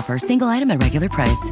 offer, single item at regular price.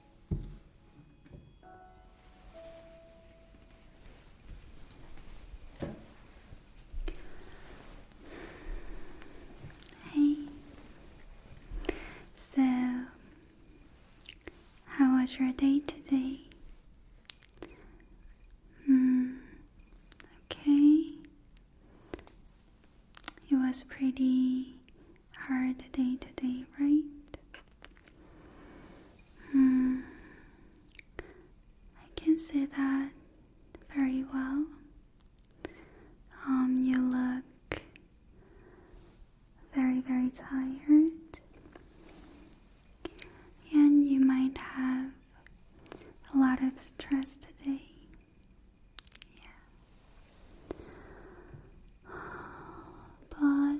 Hey. So, how was your day today? Hmm. Okay. It was pretty hard day today, right? Hmm. I can say that very well. Um, you look very, very tired, and you might have a lot of stress today. But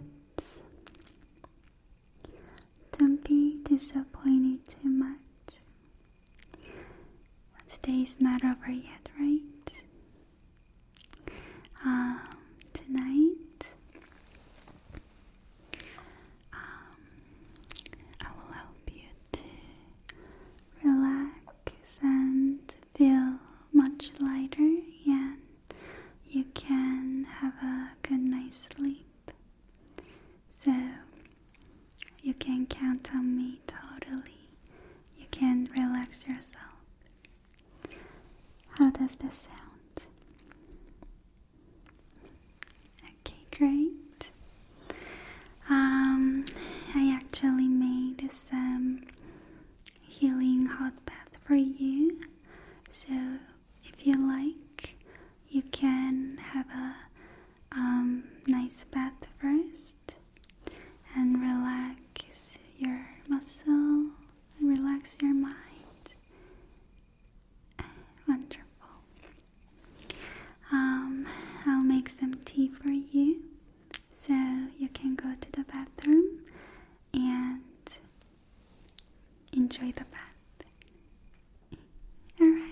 don't be disappointed too much. Today is not over yet, right? Um, tonight, um, I will help you to relax and feel much lighter and you can have a good night's sleep. So you can count on me totally. You can relax yourself. How does this sound? Okay, great. Um, I actually made some healing hot bath for you. So if you like, you can have a um, nice bath first and relax your muscles, relax your mind. Wonderful. Um, I'll make some tea for you so you can go to the bathroom and enjoy the bath. Alright.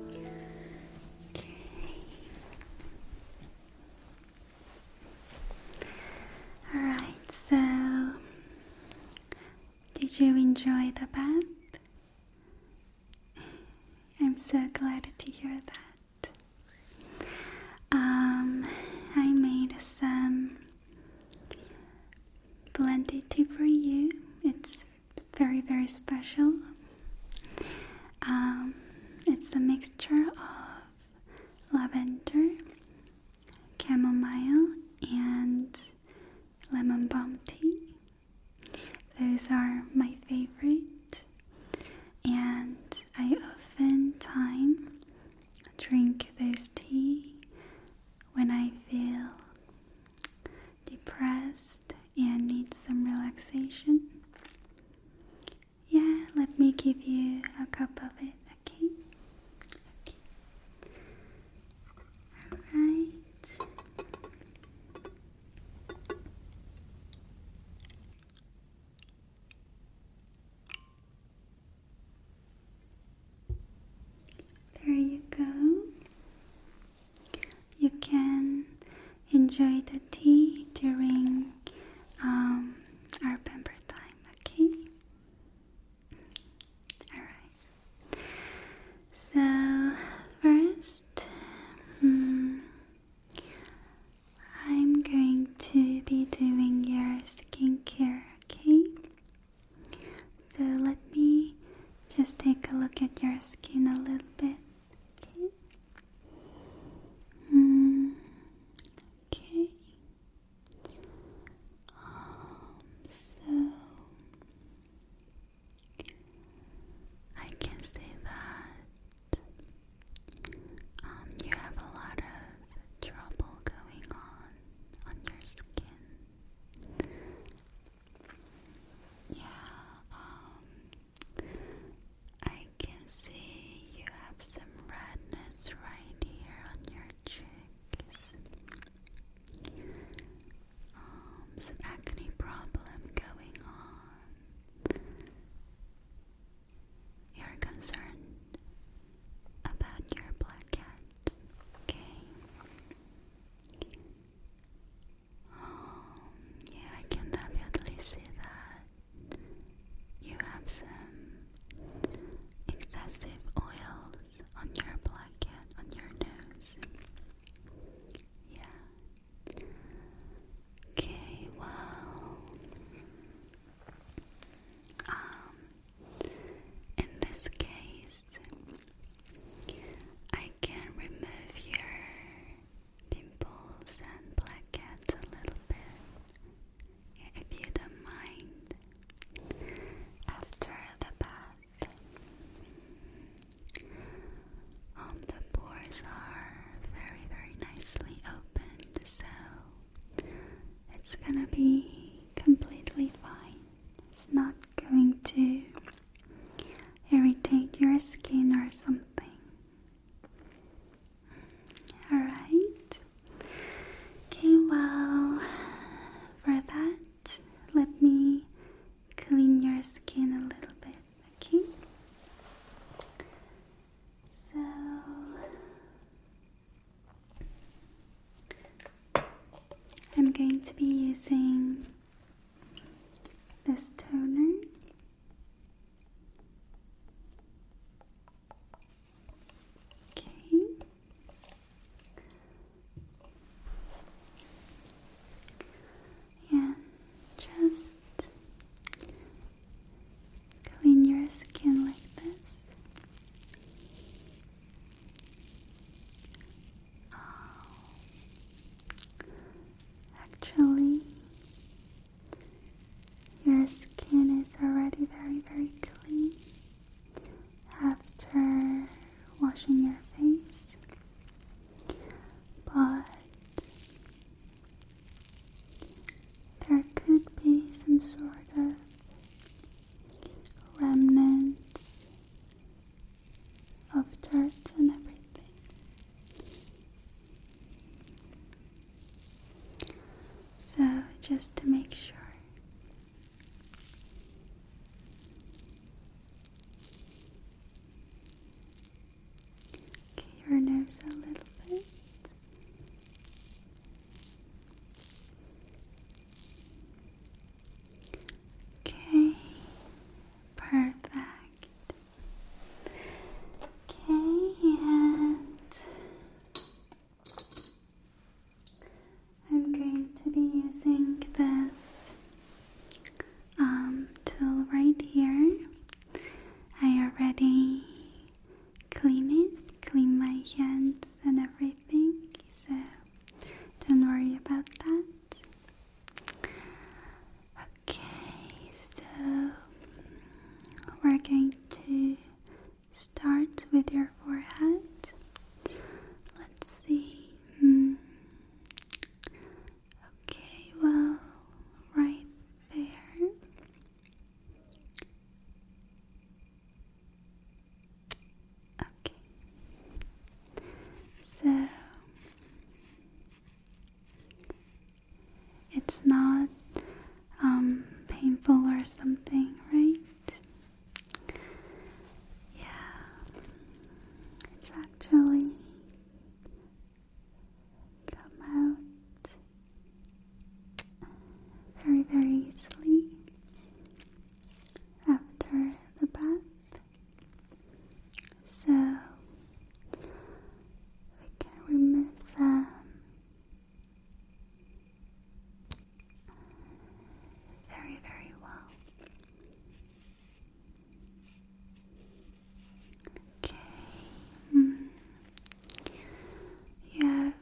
Okay. All right, so did you enjoy the bath? I'm so glad to hear that. Um, I made some blended tea for you. It's very, very special. Um, it's a mixture of lavender, chamomile, and lemon balm tea. Those are my favorite, and I often time drink those tea when I feel depressed and need some relaxation. Yeah, let me give you a cup of it, okay? Okay. All right. There you go. You can enjoy the tea during um, our pamper time, okay? Alright. So, first, hmm, I'm going to be doing your skincare, okay? So let me just take a look at your skin a little bit, okay? Mm, okay. Um, so I can see that um, you have a lot of trouble going on on your skin. Yeah, um, I can see you have some redness right here on your cheeks. Um, some acne problem going on. You're concerned about your black okay? Oh, yeah, I can definitely see that you have some excessive oils on your black cat, on your nose. Yeah, Okay, well, um, in this case, I can remove your pimples and blackheads a little bit if you don't mind after the bath. Um, the pores are very, very nicely opened, so it's gonna be completely fine. It's not going to irritate your skin or something. Alright. Okay, well, for that, let me clean your skin a little bit. Okay. So I'm going to be using this toner. Okay and just clean your skin like this. Actually, your skin is already very, very clean after washing your face, but there could be some sort of remnants of dirt and everything. So, just to make sure. Okay, your nose a little bit. Okay, perfect. Okay, and I'm going to be using this um, tool right here. I already clean it, clean my hands and everything, so don't worry about that. Okay, so we're going to start with your forehead. Let's see. Hmm. Okay, well, right there. Okay. So it's not um, painful or something, right? Yeah. It's actually come out very, very easily after the bath. So we can remove them. Very, very well. Okay. You have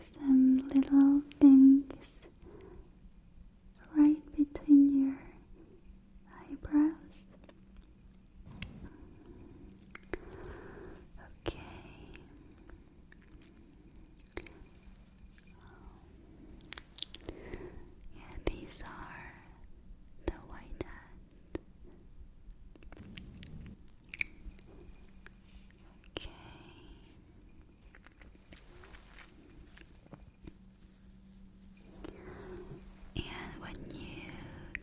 some little things right between your eyebrows. Okay. Yeah, these are the white Okay. And when you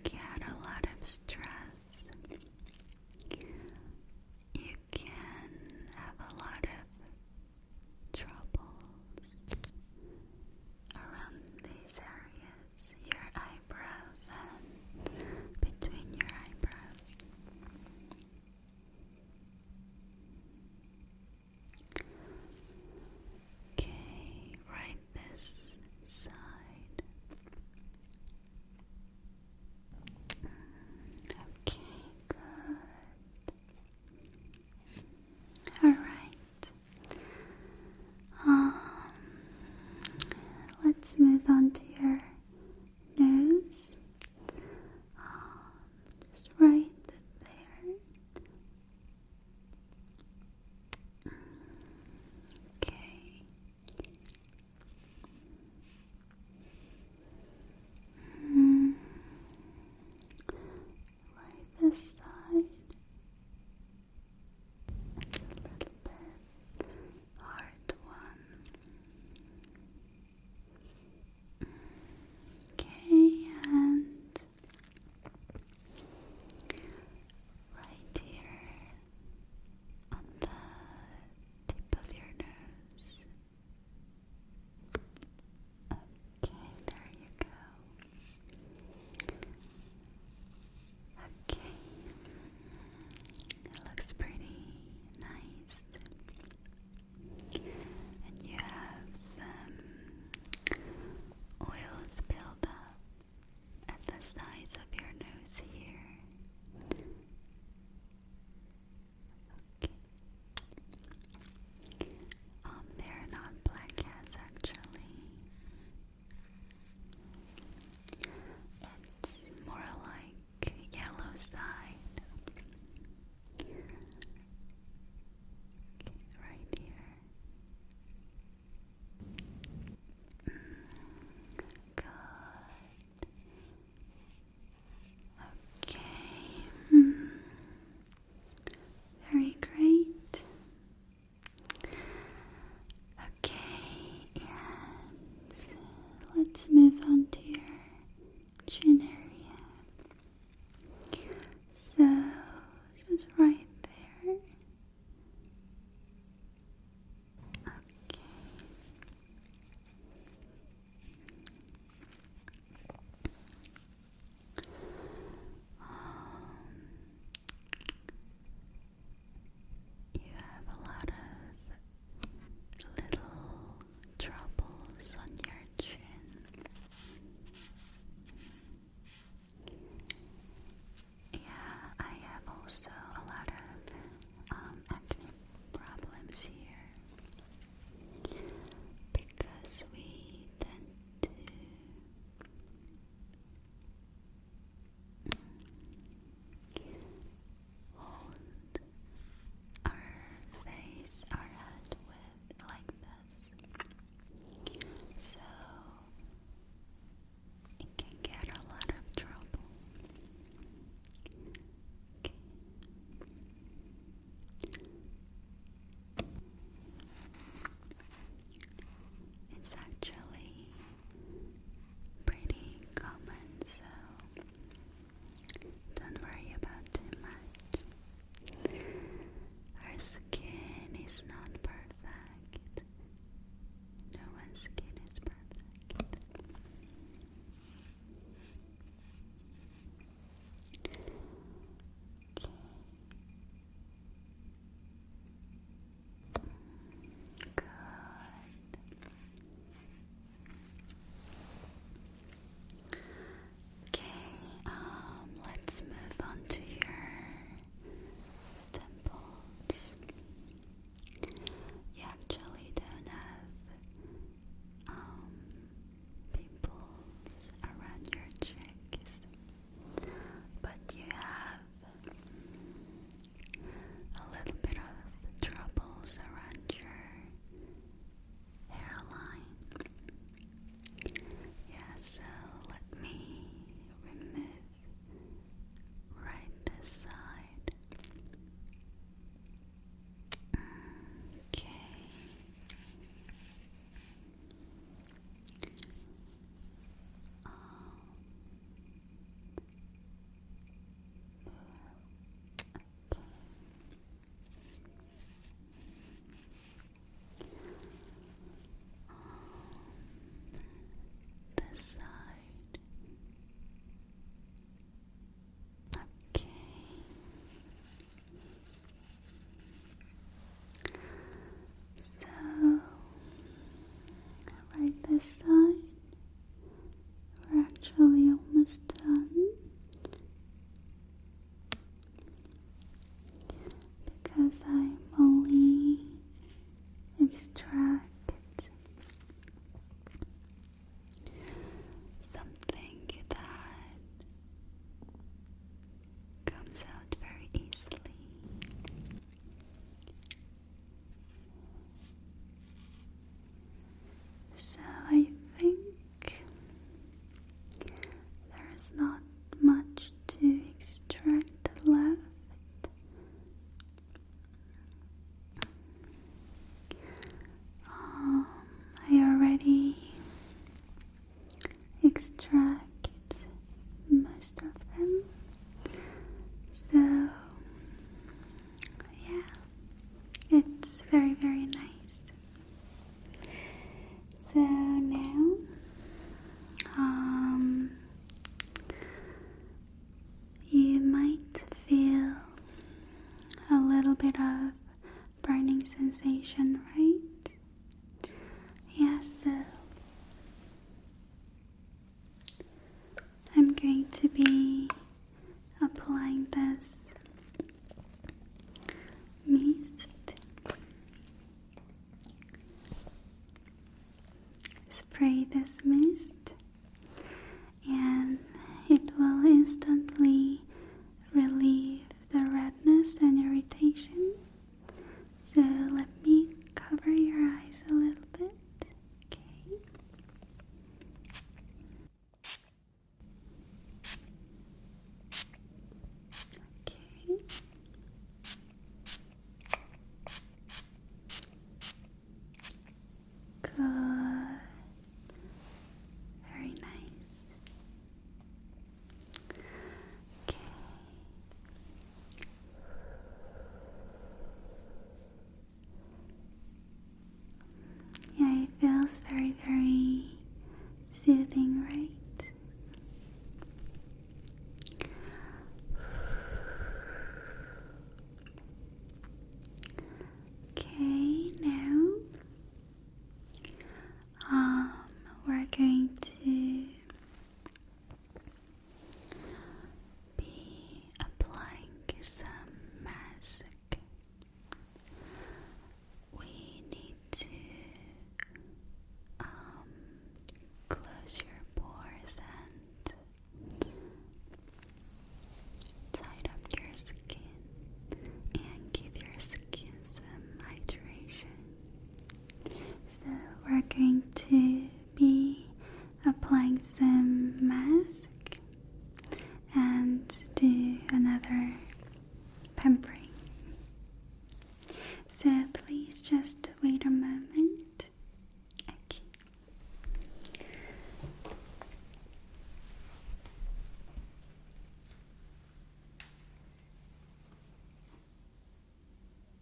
get a lot of stress, you can have a lot of troubles around these areas, your eyebrows and between your eyebrows. Okay, right this side. Okay, good. All right. Um, let's move on to your nose. Um, just right there. Okay. Hmm. Right this side little bit hard one. Okay, and right here on the tip of your nose. Okay, there you go. Okay. It looks pretty nice. And you have some oils built up at the sides of your nose here. Okay. Um, they're not black actually. It's more like yellow side. right here. Mm, good. Okay. Hmm. Very great. Okay, and let's move on to your chin So, just right there. Okay. Um, you have a lot of little troubles on your chin. Yeah, I have also a lot of um, acne problems here because we tend to Hold our face, our head with like this. So it can get a lot of trouble. It's actually pretty common, so don't worry about too much. Our skin is not perfect. No one's skin is perfect. Okay. Good. Okay, um, let's move on to your temples. You actually don't have um, pimples around your cheeks but you have a little bit of troubles around your hairline. Yeah, let me remove right this side. Okay. Um, okay. side. Okay. So, right this side, we're actually almost done because I'm only extract something that comes out very easily. So I think there's not much to extract left. Um, I already extract most of them. So, yeah, it's very, very nice. So now, um, you might feel a little bit of burning sensation, right? Yes. so I'm going to be applying this mist spray this mist and it will instantly relieve the redness and irritation so let me cover your eyes a little bit. Okay. Okay. Good. Very nice. Okay. Yeah, it feels very, very soothing, right? Okay, now um, we're going to be applying some mask. We need to um, close your pores and tight up your skin and give your skin some hydration. So we're going to be applying some mask and do another pampering. So please just wait a moment. Okay.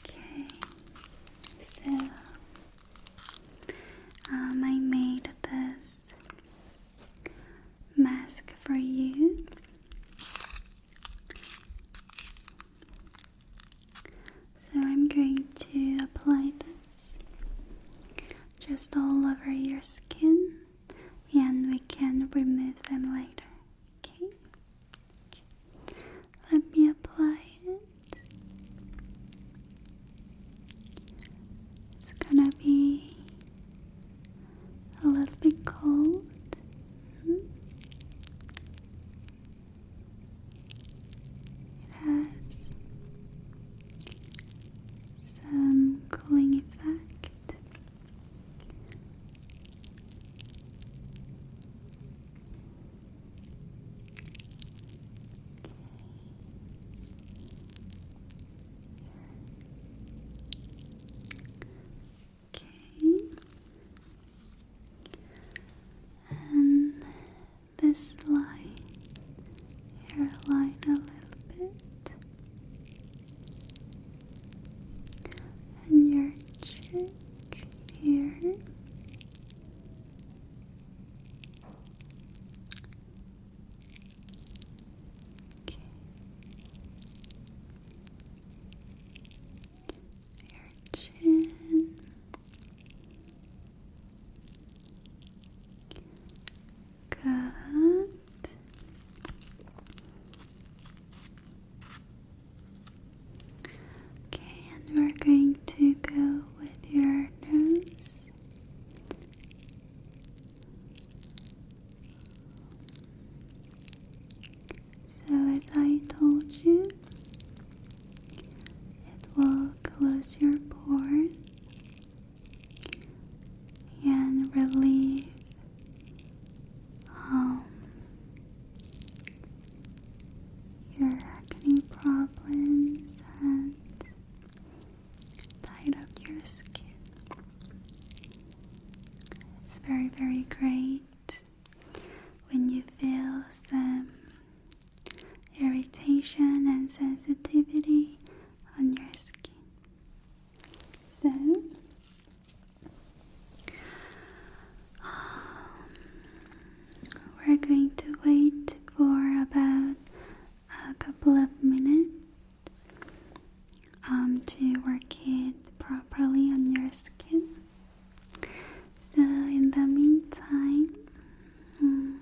Okay, so um, I made this mask for you. So I'm going to apply this just all over your skin and we can remove them later. Okay? Let me apply it. It's gonna be a little bit cold. -hmm. It has some cooling effect. Okay. And this line, hairline a little bit, and your cheek here. Okay your chin. Good. Okay, and we're going to go with your nose. So, as I told you, it will close your pores and relieve um, your acne problems and tight up your skin. It's very, very great when you feel some irritation and sensitivity on your skin. So, um, we're going to wait for about a couple of minutes um, to work it properly on your skin. So, in the meantime, hmm,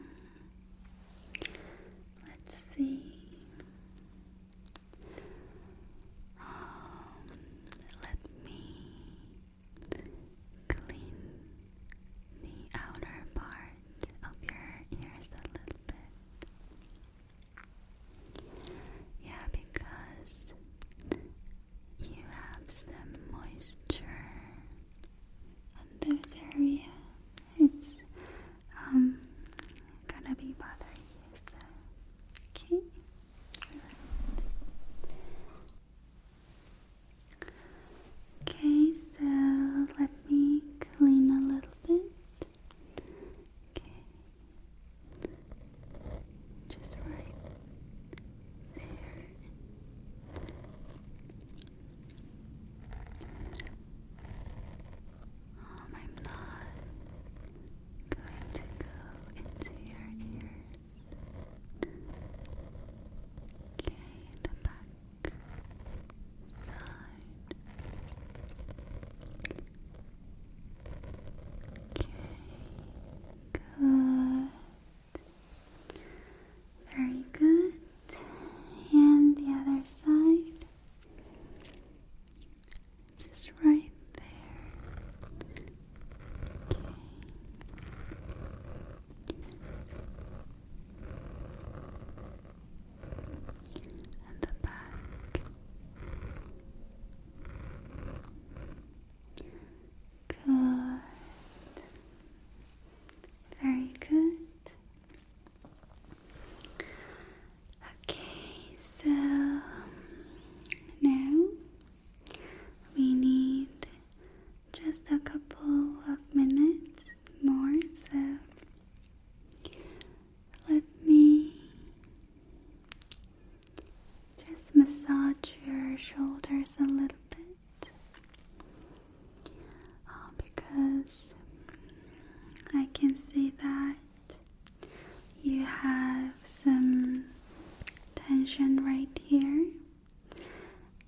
let's see. Um, let me clean the outer part of your ears a little bit. Yeah, because you have some moisture in this area. It's um gonna be bothering you, so okay. Okay, so let me clean a little bit. Okay just right there. Um, I'm not going to go into your ears. Okay, the back side. Okay, good. Very good. And the other side. Just right there. Okay. And the back. Good. Very good. Okay, so now we need just a couple of minutes more, so let me just massage your shoulders a little bit oh, because I can see that you have some tension right here,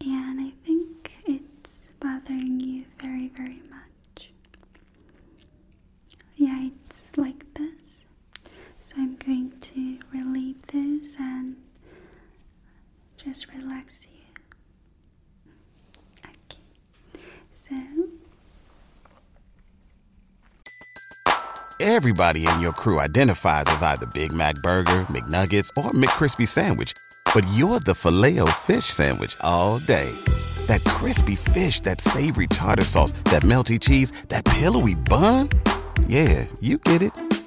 and I think it's bothering you very, very much. Yeah, it's like this. So I'm going to relieve those and just relax you. Okay. So everybody in your crew identifies as either Big Mac burger, McNuggets, or McCrispy sandwich, but you're the filet o fish sandwich all day. That crispy fish, that savory tartar sauce, that melty cheese, that pillowy bun? Yeah, you get it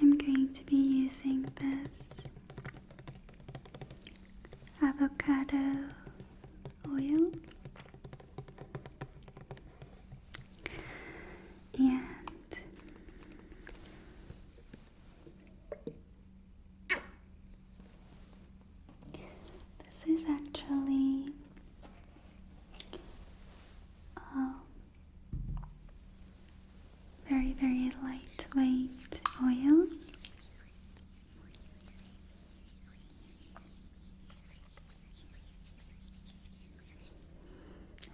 I'm going to be using this avocado oil and this is actually um, very, very lightweight oil.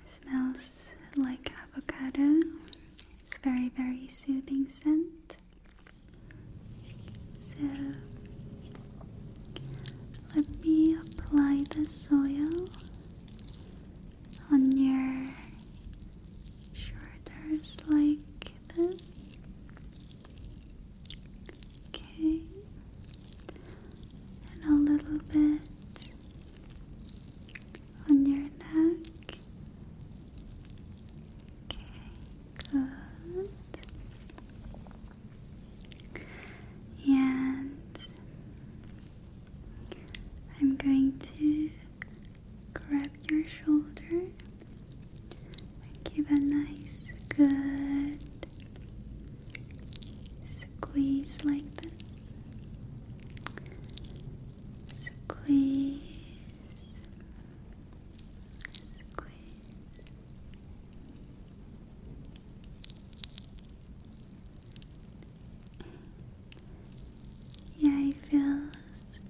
smells like avocado. It's very, very soothing scent. So let me apply the oil on your shoulders like this. Okay, and a little bit on your neck. Okay, good. And I'm going to grab your shoulder and give a nice, good squeeze like this. Squeeze. Squeeze. Yeah, it feels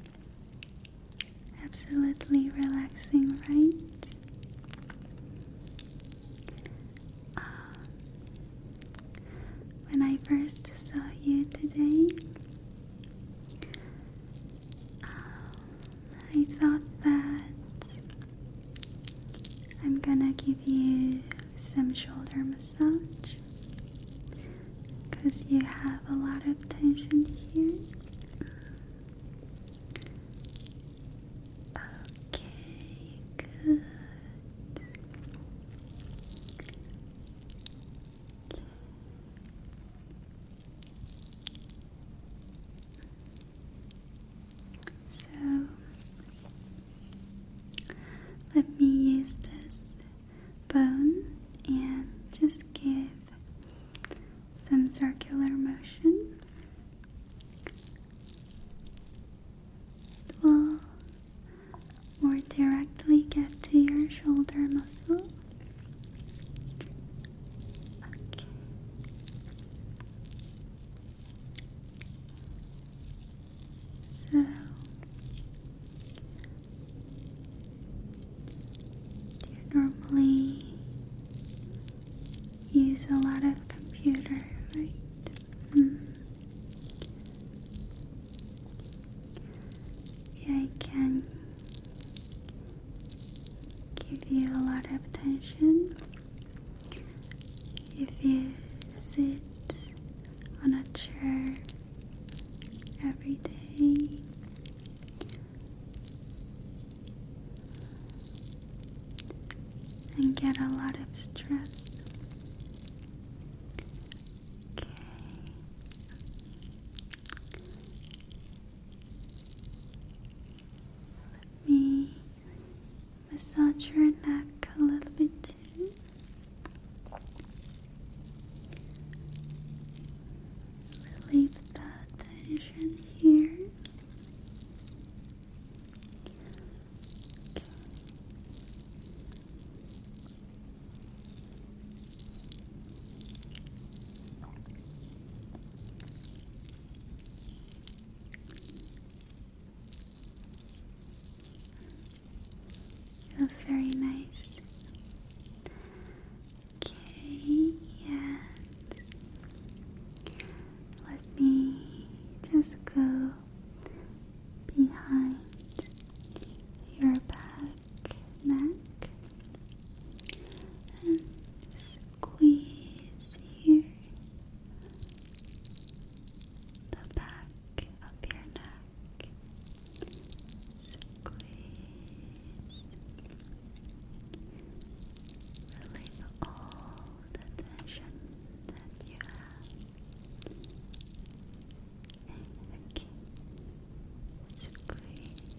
absolutely relaxing, right? Um, when I first saw you today, um, I thought that I'm gonna give you some shoulder massage because you have a lot of tension here. Okay, good. So let me use this bone and just give some circular motion. It will more directly get to your shoulder muscle. Okay. So do you normally use a lot of computer, right? Mm. Yeah, I can give you a lot of attention. If you sit on a chair every day, and get a lot of stress. Let me massage your neck a little bit too. Relieve tension here. Feels very nice. Okay, and let me just go behind your back neck and squeeze here the back of your neck. Squeeze. Relieve all the tension that you have. Okay. Squeeze.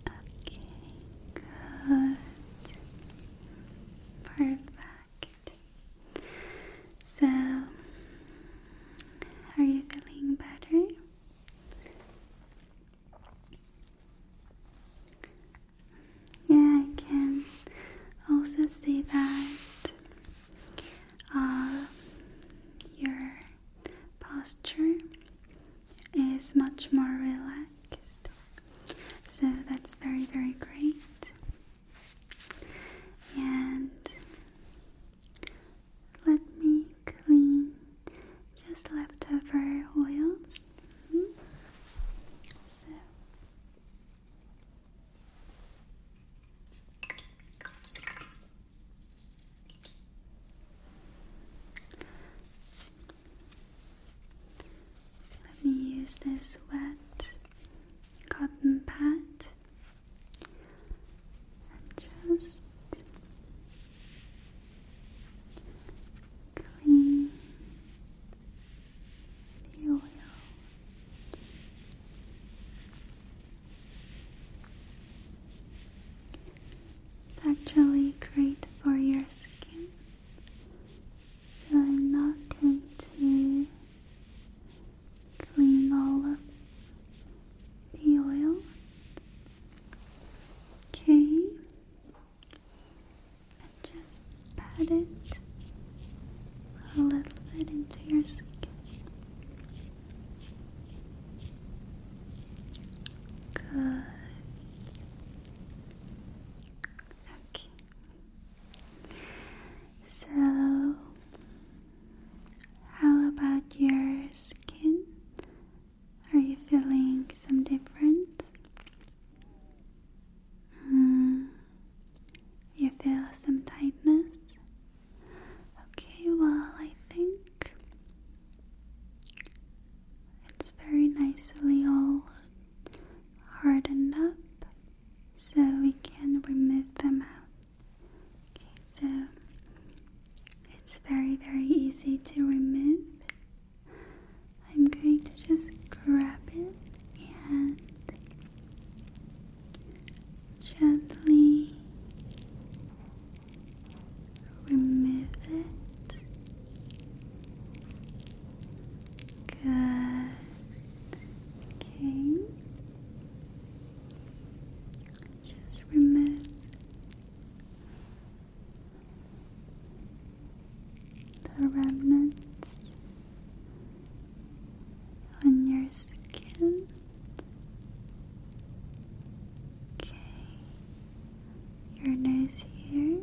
Okay, good. Perfect. So, are you feeling better? Yeah, I can also see that um, your posture is much more relaxed. So that's very, very great. And let me clean just leftover oils. Mm So. Let me use this wet cotton pad and just clean the oil. actually great for your skin. So I'm not going to clean all of the oil. Okay. And just pat it a little bit into your skin. Good. Okay. So, how about your skin? Are you feeling some difference? Mm. You feel some tightness? Okay, well, I think it's very nicely all hardened up so we can remove them out. Okay, so it's very, very easy to remove. I'm going to just grab it and gently remove it. Good. Okay. Just remove the remnants on your skin. Okay, your nose here.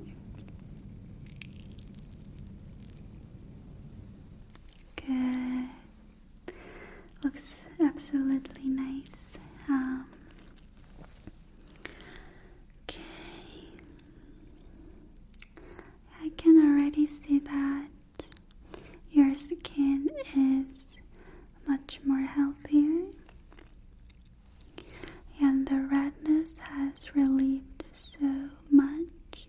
Good. Looks absolutely nice. Um, okay. I can already see that your skin is much more healthier and the redness has relieved so much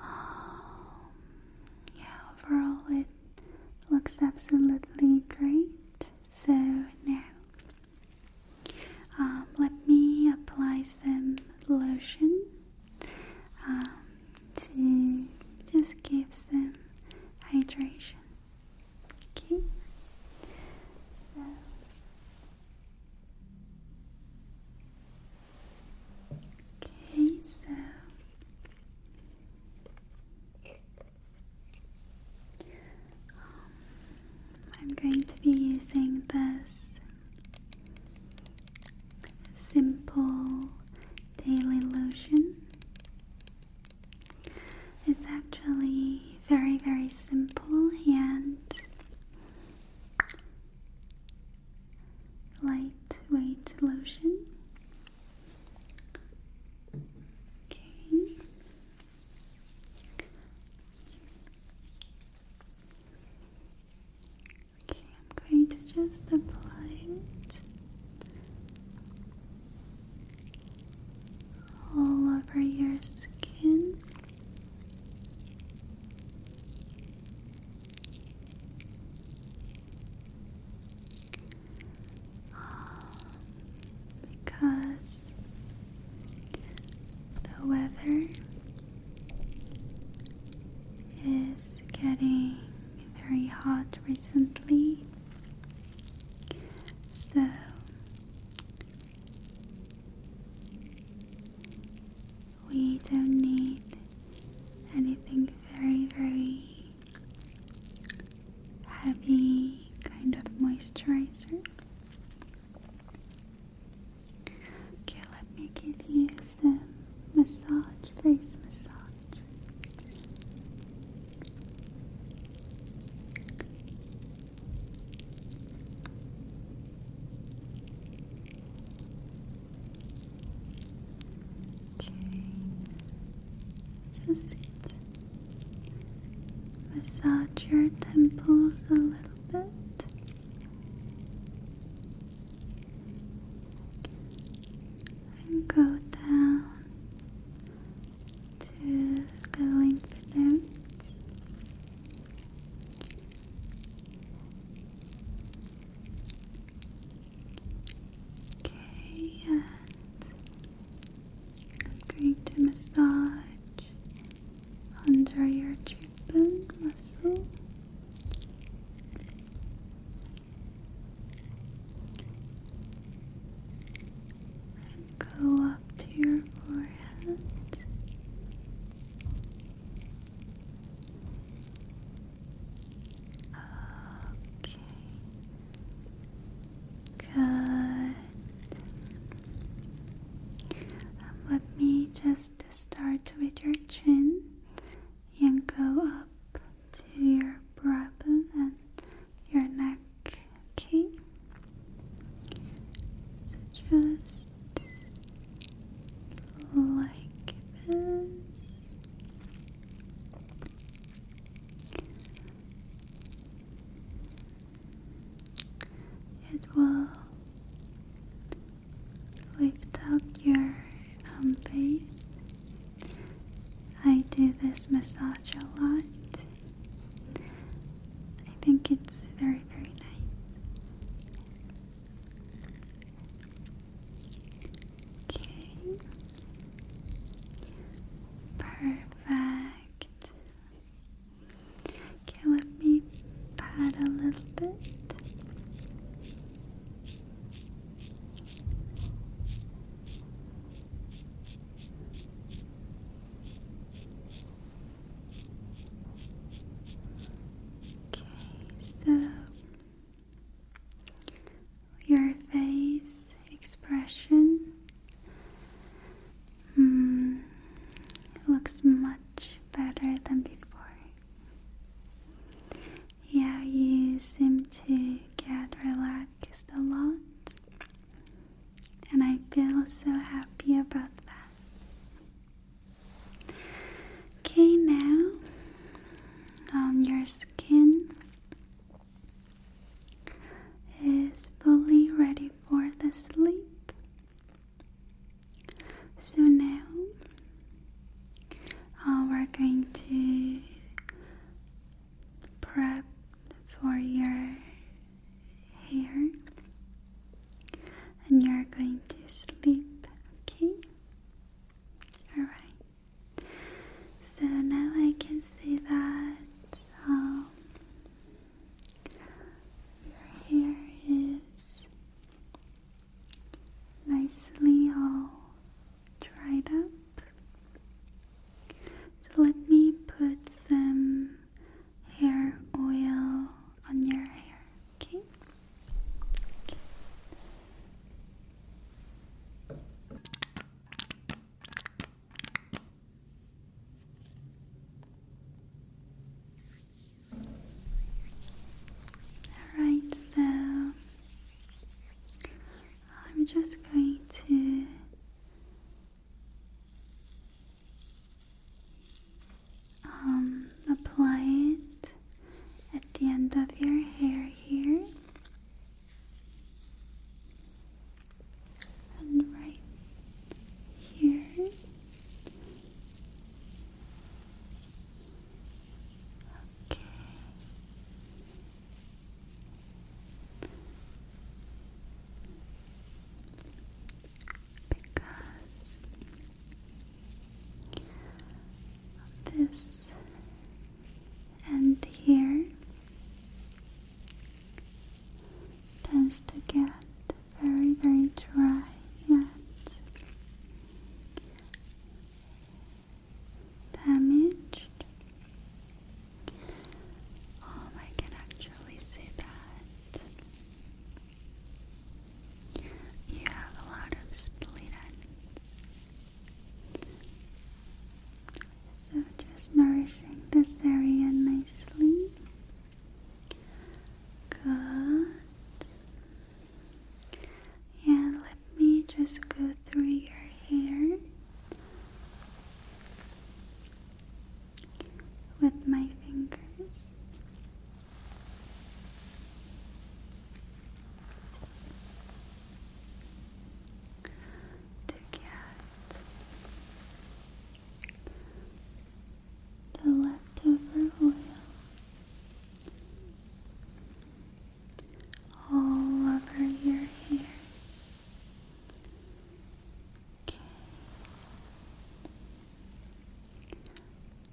um, yeah, overall it looks absolutely great. So now, um, let me apply some lotion um, to just give some hydration. Okay, Okay, so um, I'm going to be using this simple daily lotion. It's actually very, very simple and Lightweight lotion. Okay. Okay, I'm going to just apply it all over your skin because the weather is getting very hot recently, so we don't need anything very, very heavy kind of moisturizer. Okay, let me give you some massage, face massage. Just Massage your temples a little bit. And go down to the lymph nodes. I'm going to massage under your cheekbone muscle. And go up to your forehead Okay. Good. Um, let me just start with your chin and go up to your brow bone and your neck. Okay. just like this. It will lift up your um, I do this massage a lot. I think it's very, very nice. Okay. Perfect. Okay, let me pat a little bit. Okay, so your face expression mm, looks much better than before. Yeah, you seem to get relaxed a lot, and I feel so happy about that. Okay, now um, your skin is fully ready for the sleep. So now uh, we're going to prep for your hair and you're going to sleep, okay? Alright, so now I can see that um, your hair is nicely all dried up. So let me put some hair oil on your hair. Okay. Alright, so I'm just going to um, apply it at the end of your hair here and right here. Okay. Because this end here tends to get very, very dry and damaged. Um, I can actually see that you have a lot of split ends. So just nourishing this area nicely. Good. And let me just go through your hair with my fingers to get the leftover oils all over your hair. Okay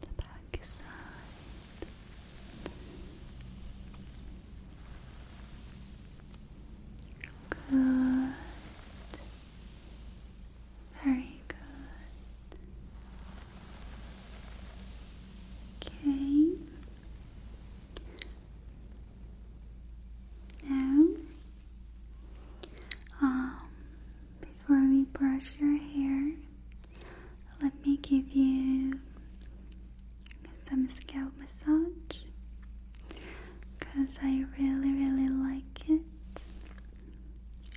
the back Good. Very good. Okay. Now, um, before we brush your hair, let me give you some scalp massage because I really, really like it.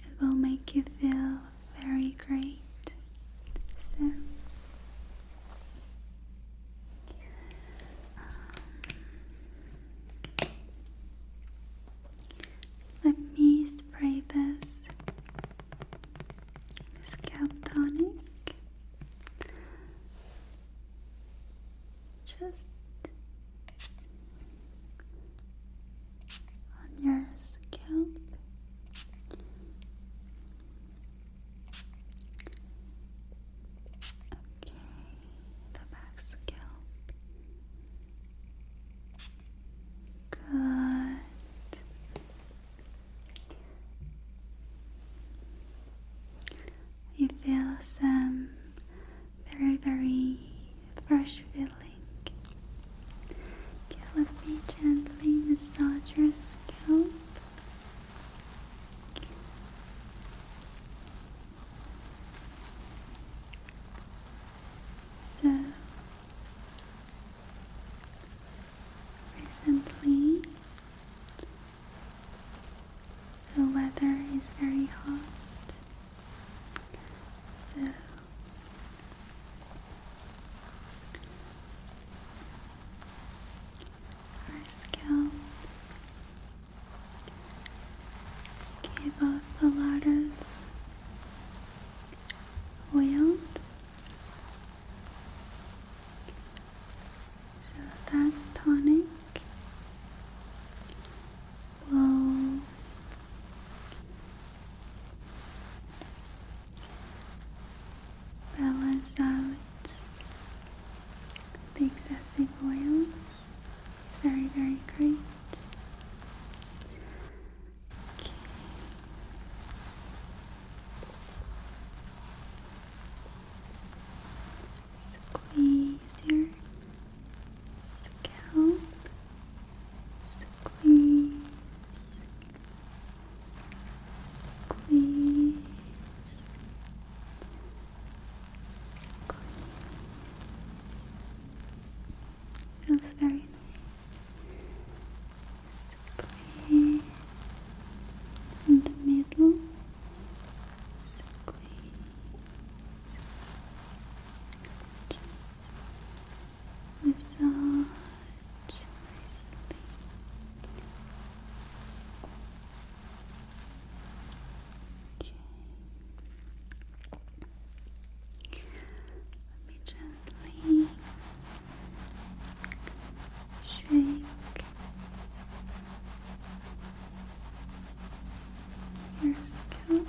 It will make you feel very great. So, um, let me spray this scalp tonic just on your scalp. Okay, the back scalp. Good. You feel some very, very fresh feeling. gently massage your scalp. So Recently, the weather is very hot, so our scalp gave off a lot of oils so that tonic will balance out the excessive oils. It's very, very great. Squeeze your scalp. Squeeze. Squeeze. Squeeze. Feels very nice. Squeeze in the middle. Squeeze. Just massage Okay. Let me gently shake your scalp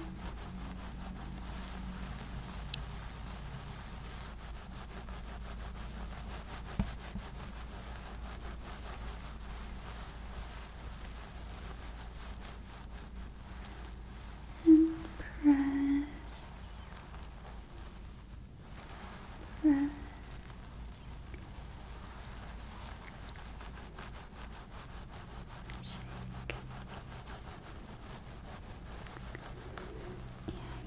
and press, press. Shake. And go back to your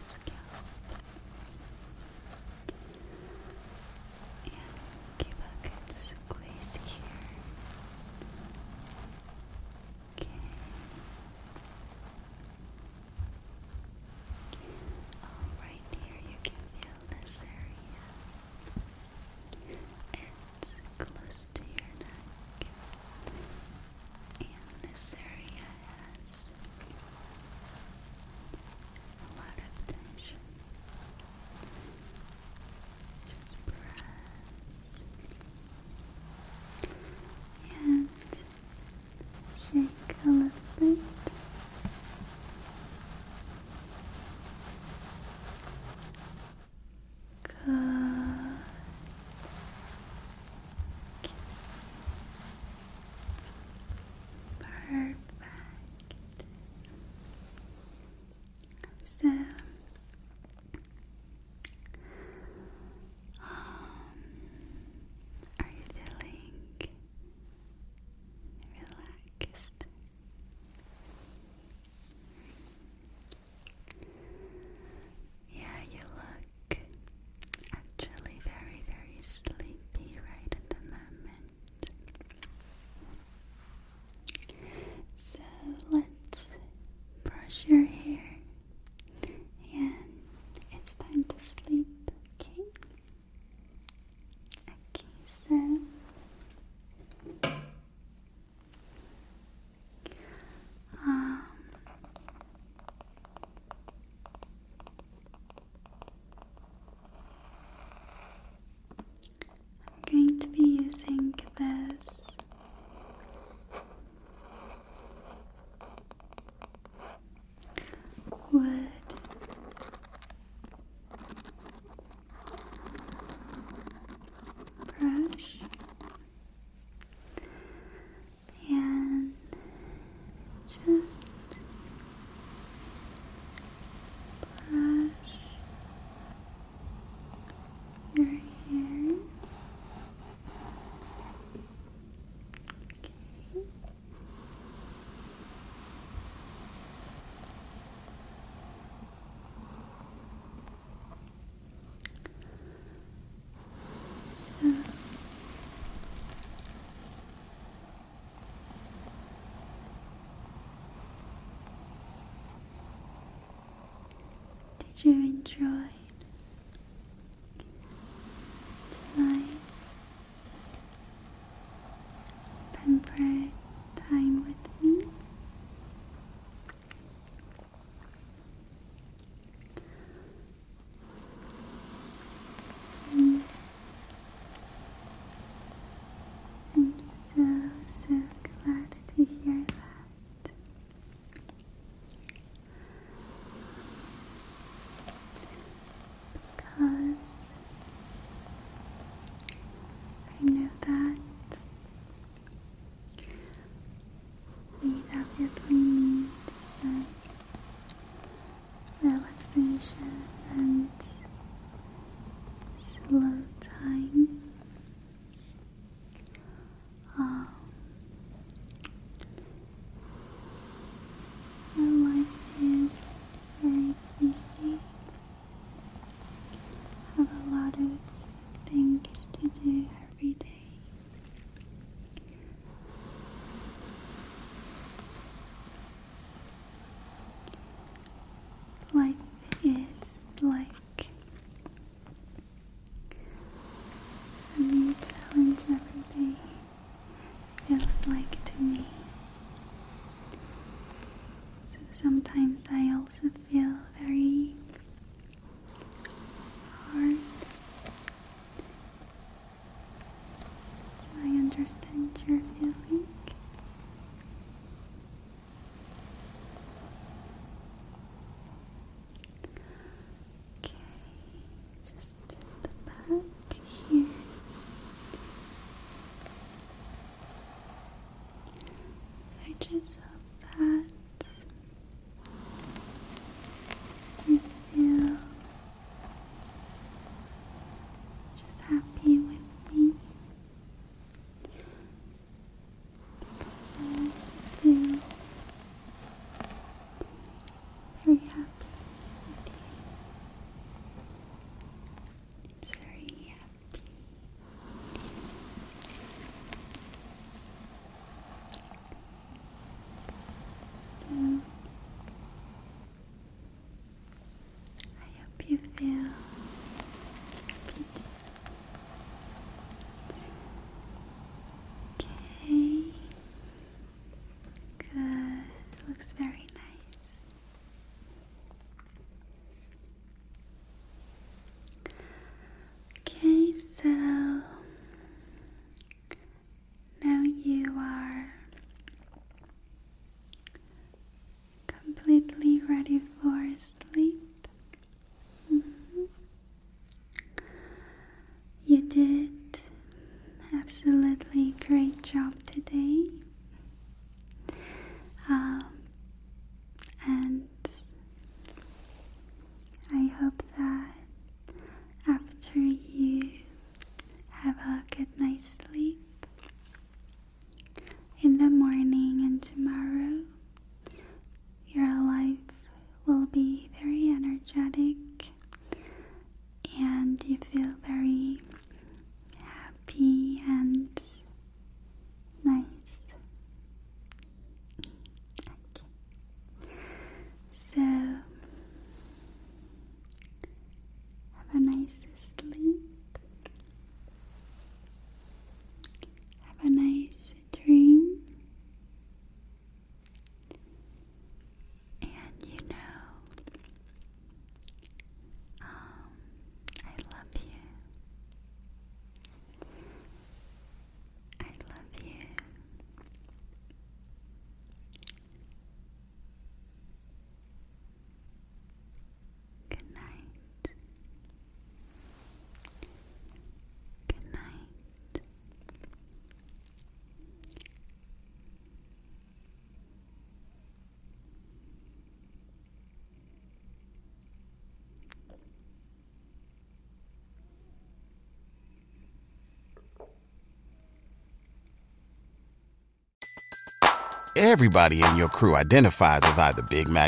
scalp. And keep a good squeeze right here you can feel this area. It's close to your neck. And this area has a lot of tension. Just press and shake a little bit. Good. Perfect. So, um, are you feeling relaxed? Yeah, you look actually very, very sleepy right at the moment. So let's brush your hair and it's time to sleep, okay? Okay, so um, I'm going to be using this wood. Brush and just brush your hair. Okay. So. Did you enjoy tonight? Pampered time with me? Mm. I'm so so glad happy to hear that. Because I know that we definitely need some relaxation and slow time my life is very busy. have a lot of things to do every day. Life is like back. A challenge everything. feels like to me. So sometimes I also feel very hard. So I understand your feeling. Okay, just the back here. I just hope that you feel just happy with me because I makes me feel very happy It's very happy. So I hope you feel happy Okay. Good. Looks very nice. Okay, so now you are completely ready for sleep. Mm-hmm. You did absolutely great job today. Um, and I hope that after you have a good night's sleep in the morning and tomorrow your life will be very energetic and you feel very happy and nice. So, have a nice sleep. Have a nice considering. And you know, um, I love you. I love you. Good night. Good night. Everybody in your crew identifies as either Big Mac